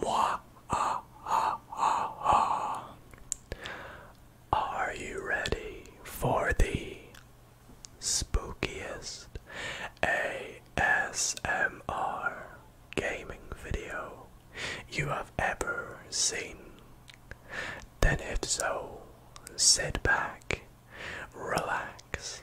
Moi, ah, ah, ah, ah. Are you ready for the spookiest ASMR gaming video you have ever seen? Then, if so, sit back, relax,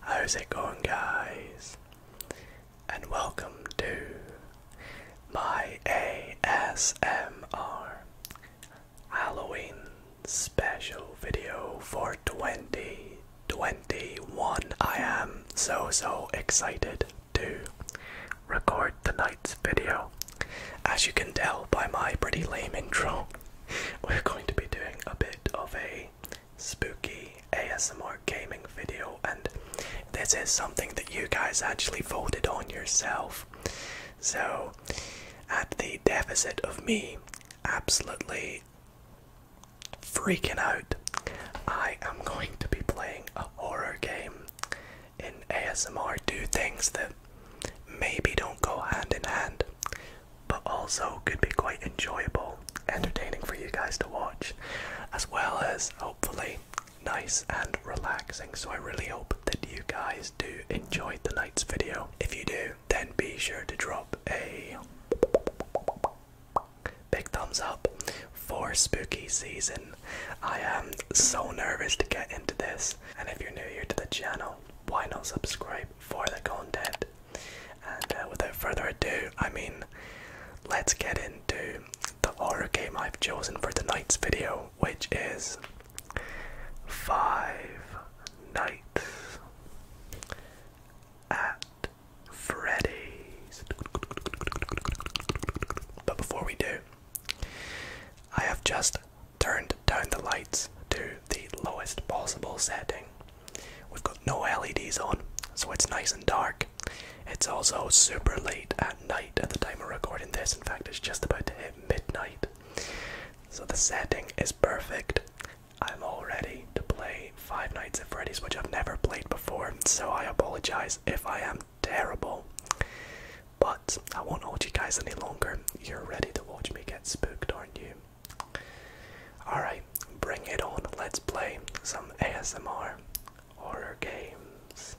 How's it going, guys? And welcome to my ASMR Halloween special video for 2021. I am so so excited to record the night's video. As you can tell by my pretty lame intro, we're going to be doing a bit of a spooky ASMR gaming video, and this is something that you guys actually voted on yourself. So, at the deficit of me absolutely freaking out, I am going to be playing a horror game in ASMR do things that maybe don't go hand in hand, but also could be quite enjoyable, entertaining for you guys to watch, as well as hopefully nice and relaxing. So I really hope that you guys do enjoy the night's video. If you do, then be sure to drop a big thumbs up for spooky season I am so nervous to get into this, and if you're new here to the channel, why not subscribe for the content? And uh, without further ado, I mean, let's get into the horror game I've chosen for tonight's video, which is Five Nights at Freddy's. But before we do, I have just turned down the lights to the lowest possible setting. We've got no LEDs on, so it's nice and dark. It's also super late at night at the time we're recording this. In fact, it's just about to hit midnight. So the setting is perfect. I'm all ready to play Five Nights at Freddy's, which I've never played before, so I apologize if I am terrible. But I won't hold you guys any longer. You're ready to watch me get spooked, aren't you? Alright, bring it on. Let's play some ASMR horror games.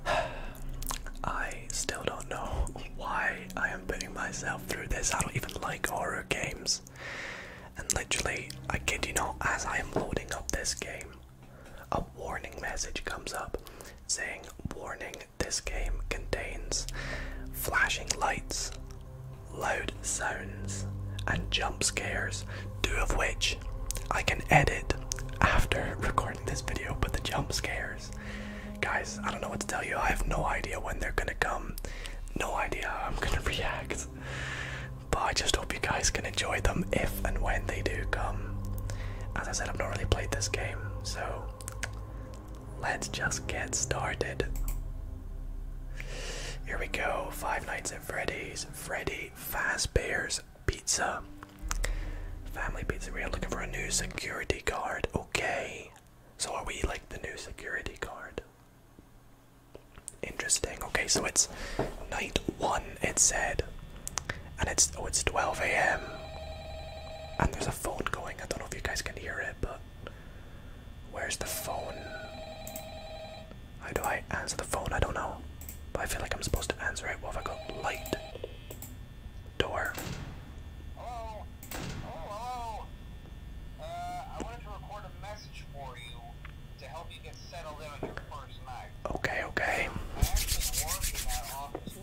I still don't know why I am putting myself through this. I don't even like horror games. And literally, I kid you not, as I am loading up this game, a warning message comes up saying, Warning, this game contains flashing lights, loud sounds, and jump scares, two of which I can edit after recording this video. But the jump scares, guys, I don't know what to tell you. I have no idea when they're gonna come, no idea how I'm gonna react. But I just hope you guys can enjoy them if and when they do come. As I said, I've not really played this game, so let's just get started. Here we go Five Nights at Freddy's, Freddy Fazbear's Pizza. Family Pizza, we are looking for a new security guard. Okay. So are we like the new security guard? Interesting. Okay, so it's night one, it said and it's oh it's 12 a.m. and there's a phone going. I don't know if you guys can hear it, but where's the phone? How do I answer the phone? I don't know, I feel like I'm supposed to answer it. Well, if I go Light, door. Hello. Hello. Uh, I wanted to record a message for you to help you get settled in your first night. Okay. Okay.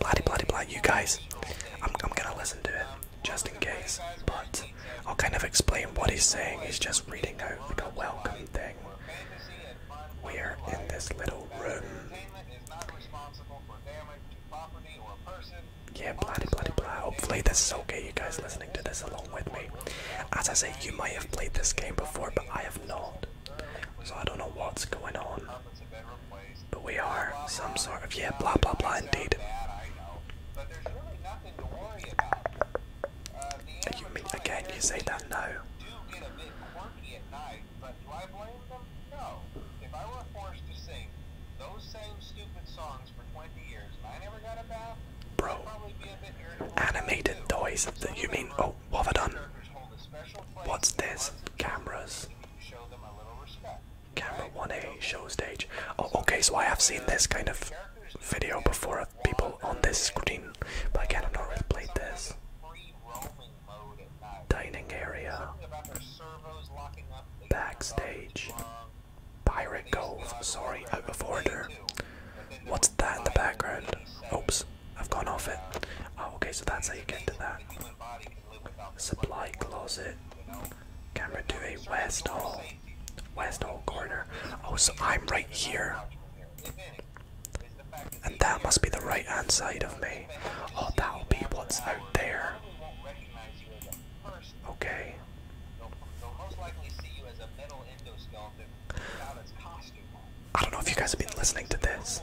Bloody, bloody, bloody. You guys, I'm, gonna listen to it just in case, but I'll kind of explain what he's saying. He's just reading out like a welcome thing. We are in this little room. Yeah, bloody, bloody, bloody! Hopefully, this is okay. You guys listening to this along with me. As I say, you might have played this game before, but I have not. So I don't know what's going on. But we are some sort of yeah, blah blah blah indeed. again? You say that no. Bro, animated toys. You mean? Oh, what What's this? Cameras. Camera 1A, show stage. Oh, okay, so I have seen this kind of video before of people on this screen, but I've not really played this. Dining area. Backstage. Pirate Cove, sorry, out of order. What's that in the background? Oops, I've gone off it. Oh, okay, so that's how you get to that. Supply closet. Camera to a west hall. West hall corner. Oh, so I'm right here. And that must be the right hand side of me. Oh, that'll be what's out there. Okay. I don't know if you guys have been listening to this.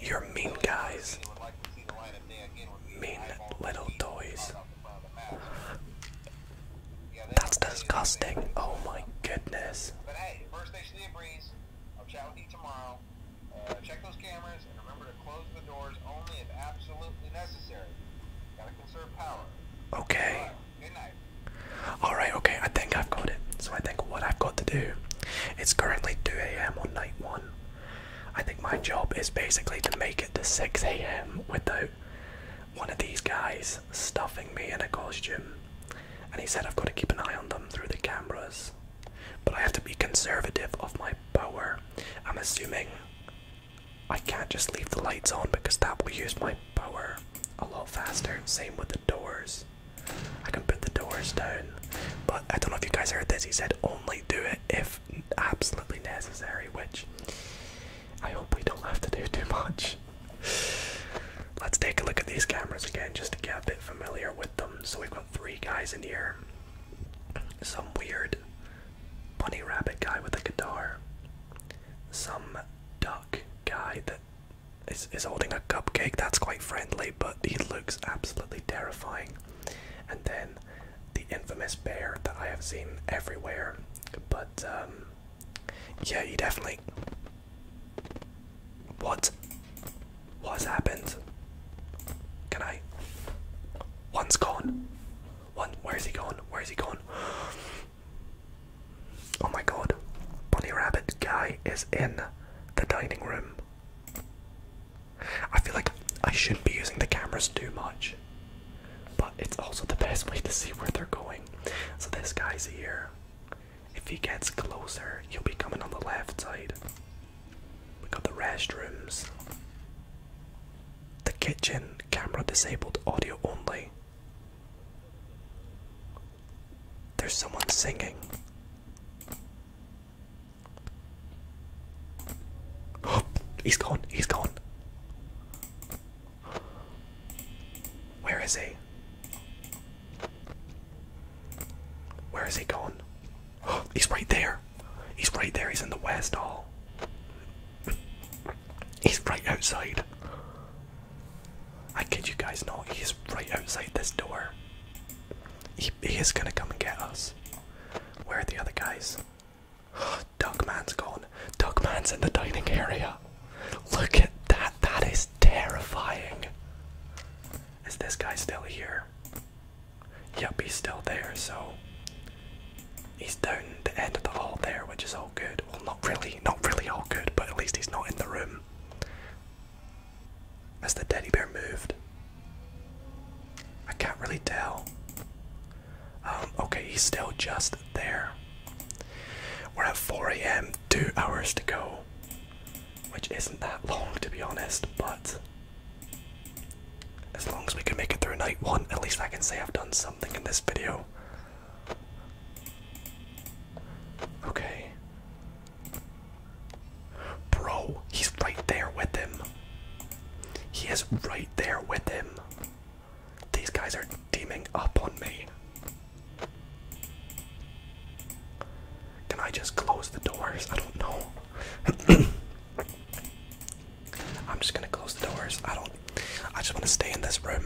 You're mean guys. Mean little toys. That's disgusting. Oh my goodness. I'll chat with you tomorrow. Uh, check those cameras and remember to close the doors only if absolutely necessary. Gotta conserve power. Okay. Good night. Alright, okay, I think I've got it. So I think what I've got to do, it's currently 2am on night 1. I think my job is basically to make it to 6 a.m. without one of these guys stuffing me in a costume. And he said I've got to keep an eye on them through the cameras. But I have to be conservative of my power. I'm assuming I can't just leave the lights on because that will use my power a lot faster. Same with the doors. I can put the doors down, but I don't know if you guys heard this. He said only do it if absolutely necessary, which I hope we don't have to do too much. Let's take a look at these cameras again, just to get a bit familiar with them. So we've got three guys in here. Some weird bunny rabbit guy with a guitar. Some duck guy that is, is holding a cupcake. That's quite friendly, but he looks absolutely terrifying. And then the infamous bear that I have seen everywhere. But um, yeah, you definitely What? What happened? Can I? One's gone. One where is he gone? Where is he gone? Oh my god. Bunny Rabbit guy is in the dining room. I feel like I shouldn't be using the cameras too much, but it's also the best way to see where they're going. So, this guy's here. If he gets closer, he'll be coming on the left side. We got the restrooms, the kitchen, camera disabled, audio only. There's someone singing. he? Where is he gone? he's right there. He's right there. He's in the west hall. He's right outside. I kid you guys not. He's right outside this door. He, is gonna come and get us. Where are the other guys? Duckman's gone. Duckman's in the dining area. Look at that. That is terrifying. Is this guy still here? Yup, he's still there, so he's down the end of the hall there, which is all good. Well, not really, not really all good, but at least he's not in the room. As the teddy bear moved, I can't really tell. Um, okay, he's still just there. We're at 4 a.m., two hours to go, which isn't that long to be honest, but as long as we can make it through night one, at least I can say I've done something in this video. Okay. Bro, he's right there with him. He is right there with him. These guys are teaming up on me. Can I just close the doors? I don't know. I'm just gonna close the doors. I don't. I just want to stay in this room.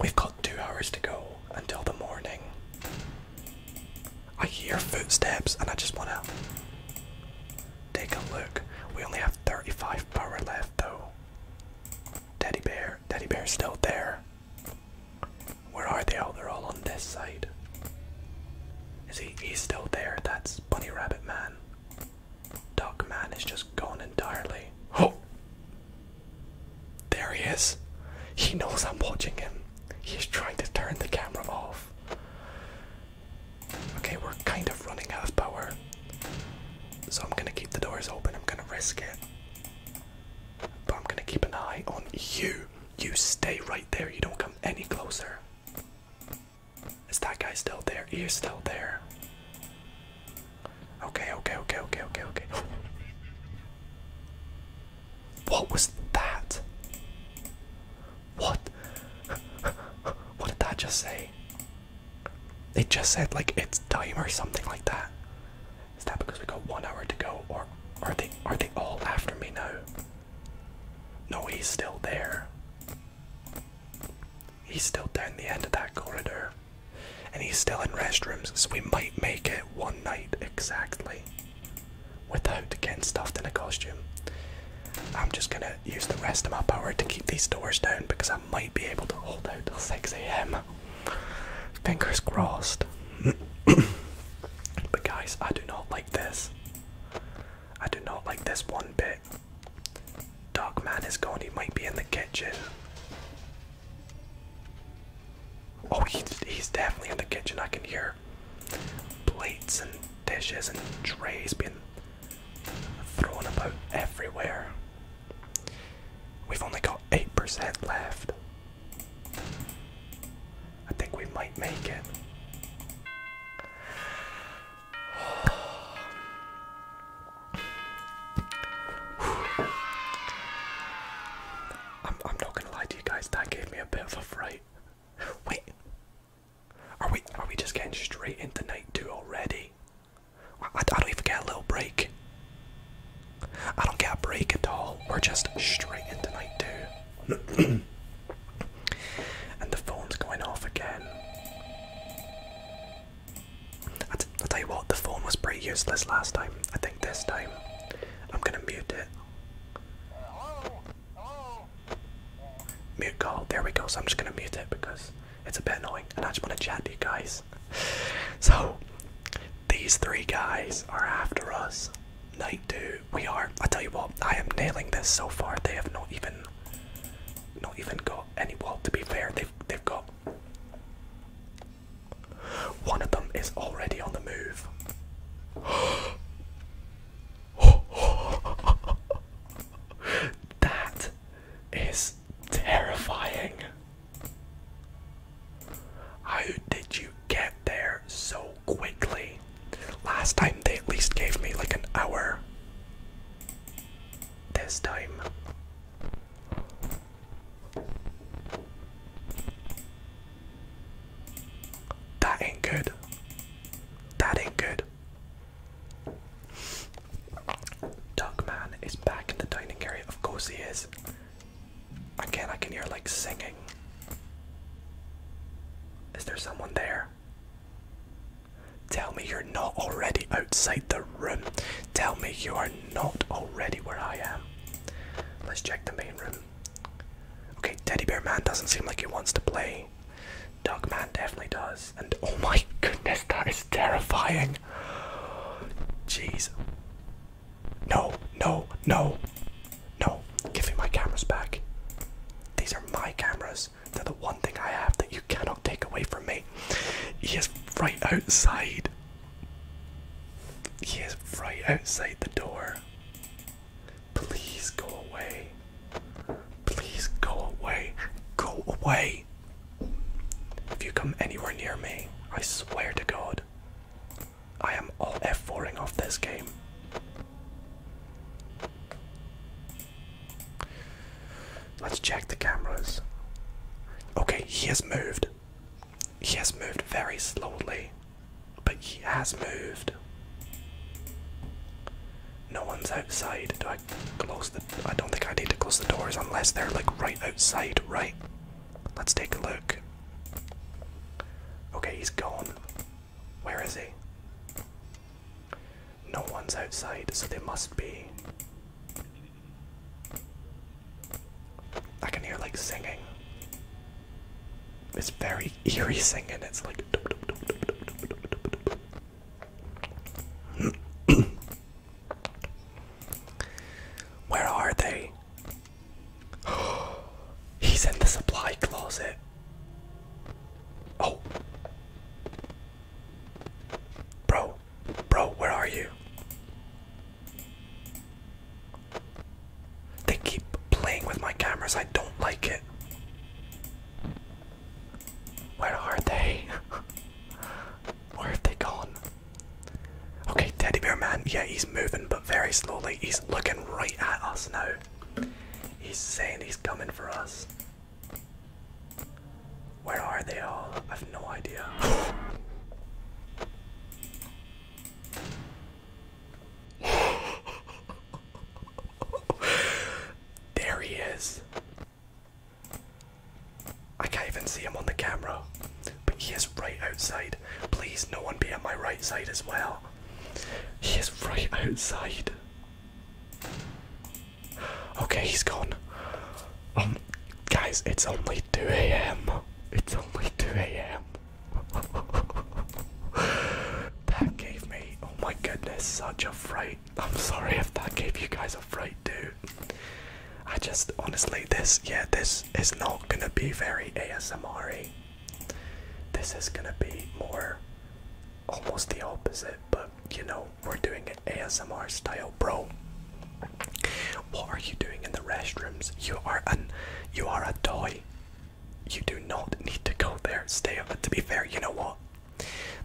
We've got two hours to go until the morning. I hear footsteps and I just want to take a look. We only have 35 power left though. Teddy bear, teddy bear's still there. Where are they? all? they're all on this side. Is he? He's still there. That's Bunny Rabbit Man. Duck Man is just gone entirely. Oh! There he is. He knows I'm watching him. He's trying to turn the camera off. Okay, we're kind of running out of power. So I'm gonna keep the doors open, I'm gonna risk it. But I'm gonna keep an eye on you. You stay right there, you don't come any closer. Is that guy still there? He still there. Okay, okay, okay, okay, okay, okay. What was that? What? what did that just say? It just said like it's time or something like that. Is that because we got one hour to go, or are they are they all after me now? No, he's still there. He's still down the end of that corridor. And he's still in restrooms, so we might make it one night exactly without getting stuffed in a costume. I'm just gonna use the rest of my power to keep these doors down because I might be able to hold out till 6 a.m. Fingers crossed. but guys, I do not like this. I do not like this one bit. Dark man is gone, he might be in the kitchen. Oh, he's, he's definitely in the kitchen. I can hear Plates and dishes and trays being thrown about everywhere. We've only got 8% left. I think we might make it. I'm, I'm not gonna lie to you guys, that gave me a bit of a fright. Wait, are we are we just getting straight into night two already? I, don't even get a little break. I don't get a break at all. We're just straight into night two. and the phone's going off again. I tell you what, the phone was pretty useless last time. I think this time I'm gonna mute it Mute call. There we go. So I'm just gonna mute it because it's a bit annoying, and I just want to chat to you guys. So these three guys are after us. Night two. We are. I tell you what. I am nailing this so far. They have not even, not even got any. Well, to be fair, they've they've got one of them is already on the move. that is terrifying. How did you get there so quickly? Last time they at least gave me like an hour. This time. That ain't good. That ain't good. Duckman is back in the dining area. Of course he is. Again, I can hear like singing. Is there someone there? Tell me you're not already outside the room. Tell me you are not already where I am. Let's check the main room. Okay, Teddy Bear Man doesn't seem like he wants to play. Duck Man definitely does. And oh my goodness, that is terrifying. Jeez. No, no, no, no. Give me my cameras back. These are my cameras. They're the one thing I have that you cannot take away from me. He is right outside. He is right outside the door. Please go away. Please go away. Go away. If you come anywhere near me, I swear to God, I am all F4ing off this game. Let's check the cameras. Okay, he has moved. He has moved very slowly. But he has moved. No one's outside. Do I close the. I don't think I need to close the doors unless they're like right outside, right? Let's take a look. Okay, he's gone. Where is he? No one's outside, so they must be. I can hear like singing. It's very eerie singing. It's like. Where are they? He's in the supply closet. Oh. Bro, bro, where are you? They keep playing with my cameras. I don't like it. Where are they? Where have they gone? Okay, Teddy Bear Man. Yeah, he's moving, but very slowly. He's looking right at us now. He's saying he's coming for us. Where are they all? I've no idea. there he is. I can't even see him on the camera, but he is right outside. Please, no one be at my right side as well. He is right outside. Okay, he's gone. Um, guys, it's only 2 a.m. It's only 2 a.m that gave me, oh my goodness, such a fright. I'm sorry if that gave you guys a fright, dude. I just, honestly, this, yeah, this is not gonna be very ASMR This is gonna be more almost the opposite, but you know, we're doing an ASMR style, bro. What are you doing in the restrooms? You are an you are a toy. You do not need to go there. Stay up. To be fair, you know what?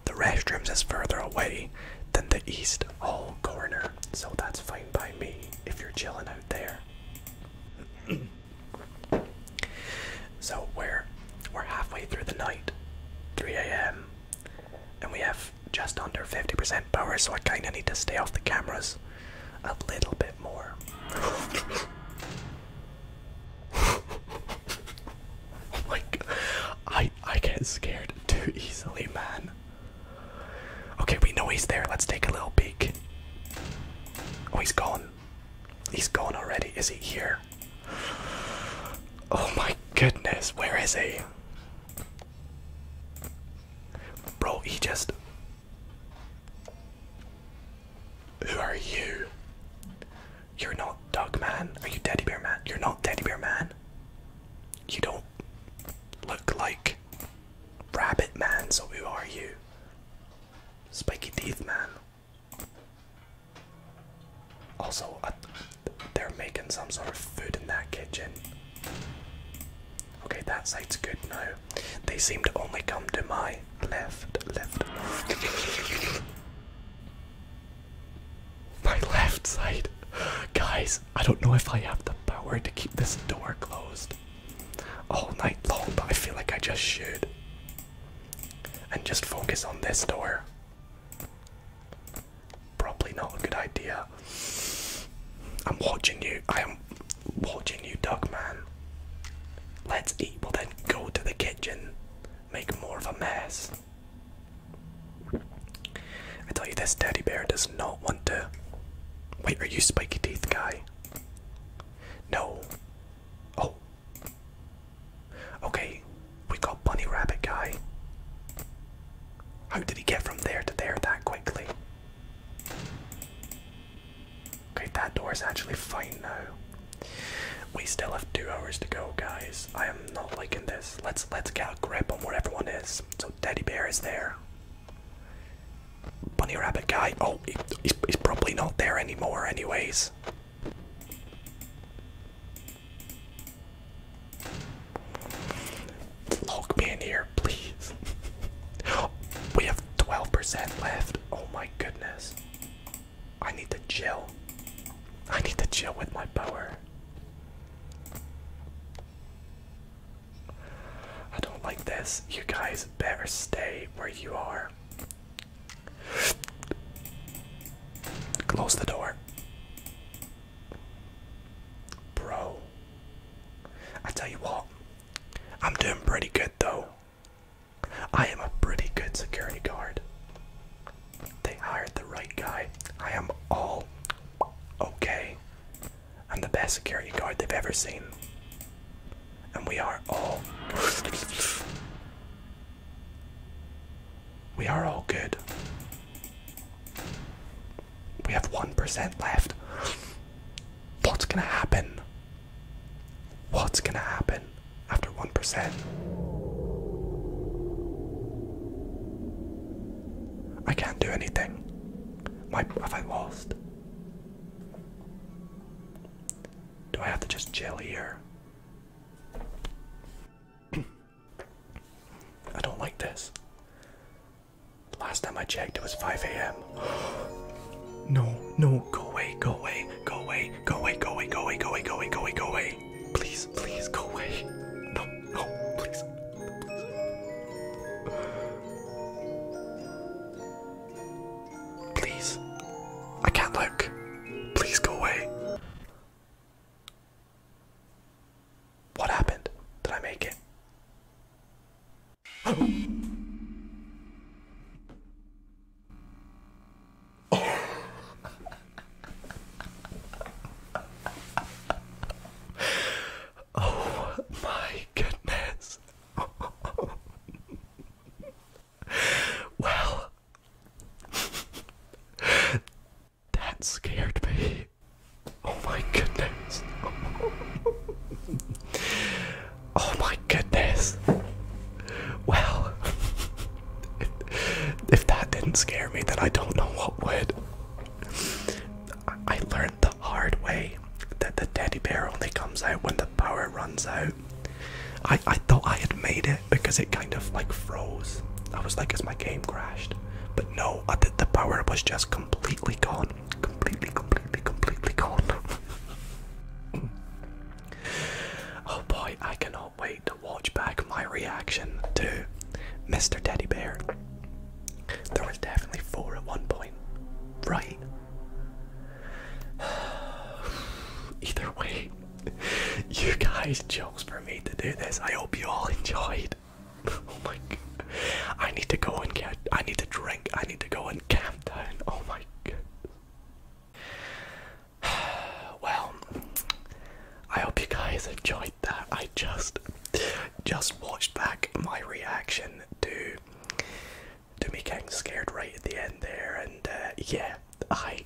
The restrooms is further away than the East Hall corner, so that's fine by me if you're chilling out there. so we're we're halfway through the night, 3 a.m., and we have just under 50% power, so I kinda need to stay off the cameras a little bit more. like, oh I I get scared too easily, man. Okay, we know he's there. Let's take a little peek. Oh, he's gone. He's gone already. Is he here? Oh my goodness, where is he? Bro, he just who are you? You're not Dog Man. Are you Teddy Bear Man? You're not Teddy Bear Man. You don't look like Rabbit Man, so who are you? Spiky Teeth Man. Also, uh, they're making some sort of food in that kitchen. Okay, that side's good No, They seem to only come to my left, left. my left side. Guys, I don't know if I have the power to keep this door closed all night long, but I feel like I just should. And just focus on this door. Probably not a good idea. I'm watching you. I am watching you, dog Man. Let's eat. we then go to the kitchen, make more of a mess. I tell you, this Daddy bear does not want to. Wait, are you spiky teeth guy? No. Oh. Okay, we got bunny rabbit guy. How did he get from there to there that quickly? Okay, that door is actually fine now. We still have two hours to go, guys. I am not liking this. Let's let's get a grip on where everyone is. So Daddy Bear is there. Bunny Rabbit guy. Oh, he's, he's probably not there anymore, anyways. Lock me in here, please. we have 12% left. Oh my goodness. I need to chill. I need to chill with my power. I don't like this. You guys better stay where you are. Close the door. Bro. I tell you what, I'm doing pretty good though. I am a pretty good security guard. They hired the right guy. I am all okay. I'm the best security guard they've ever seen. And we are all. we are all good. We have 1% left. What's gonna happen? What's gonna happen after 1%? I can't do anything. My, have I lost? Do I have to just chill here? I don't like this. Last time I checked, it was 5 a.m. no, no, go away, go away, go away, go away, go away, go away, go away, go away, go away, Please, please, go away. No, no, please. please. Please. I can't look. Please go away. What happened? Did I make it? oh my goodness. well, that scared me. Oh my goodness. oh my goodness. Well, if, if that didn't scare me, then I don't know what would. I learned the hard way that the teddy bear only comes out when the power runs out. I, I thought I had made it because it kind of like froze. I was like, is my game crashed? But no, the power was just completely gone completely, completely, completely gone. oh boy, I cannot wait to watch back my reaction to Mr. Teddy Bear. There was definitely four at one point, right? Either way, you guys jokes for me to do this. I hope you all enjoyed. oh my god. I need to go and get I need to drink. I need to go and camp down. Oh my god. Well, I hope you guys enjoyed that. I just just watched back my reaction to to me getting scared right at the end there and uh, yeah, I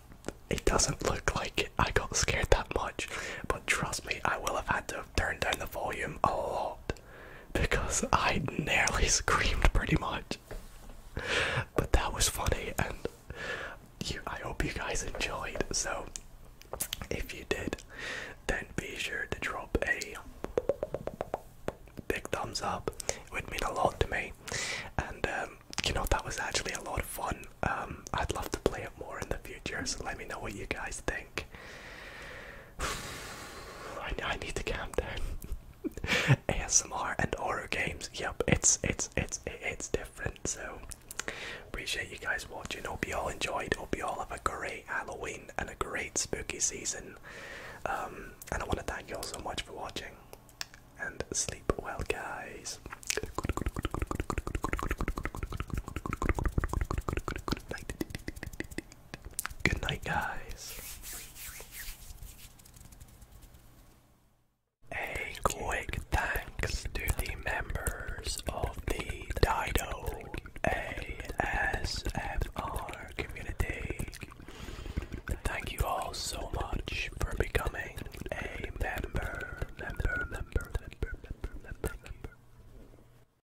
it doesn't look like I got scared that much, but trust me, I will have had to turn down the volume a lot because I nearly screamed pretty much. But that was funny, and I hope you guys enjoyed. So, if you did, then be sure to drop a big thumbs up. It would mean a lot to me, and um, you know that was actually a lot of fun. Um, I'd love to play it more in the future, so let me know what you guys think. I, I need to calm down. ASMR and horror games. Yep, it's it's it's it's different. So appreciate you guys watching. Hope you all enjoyed. Hope you all have a great Halloween and a great spooky season. Um, and I want to thank you all so much for watching. And sleep well, guys. Good night, guys. A quick thanks to the members of the Dido ASMR community. Thank you all so much for becoming a member.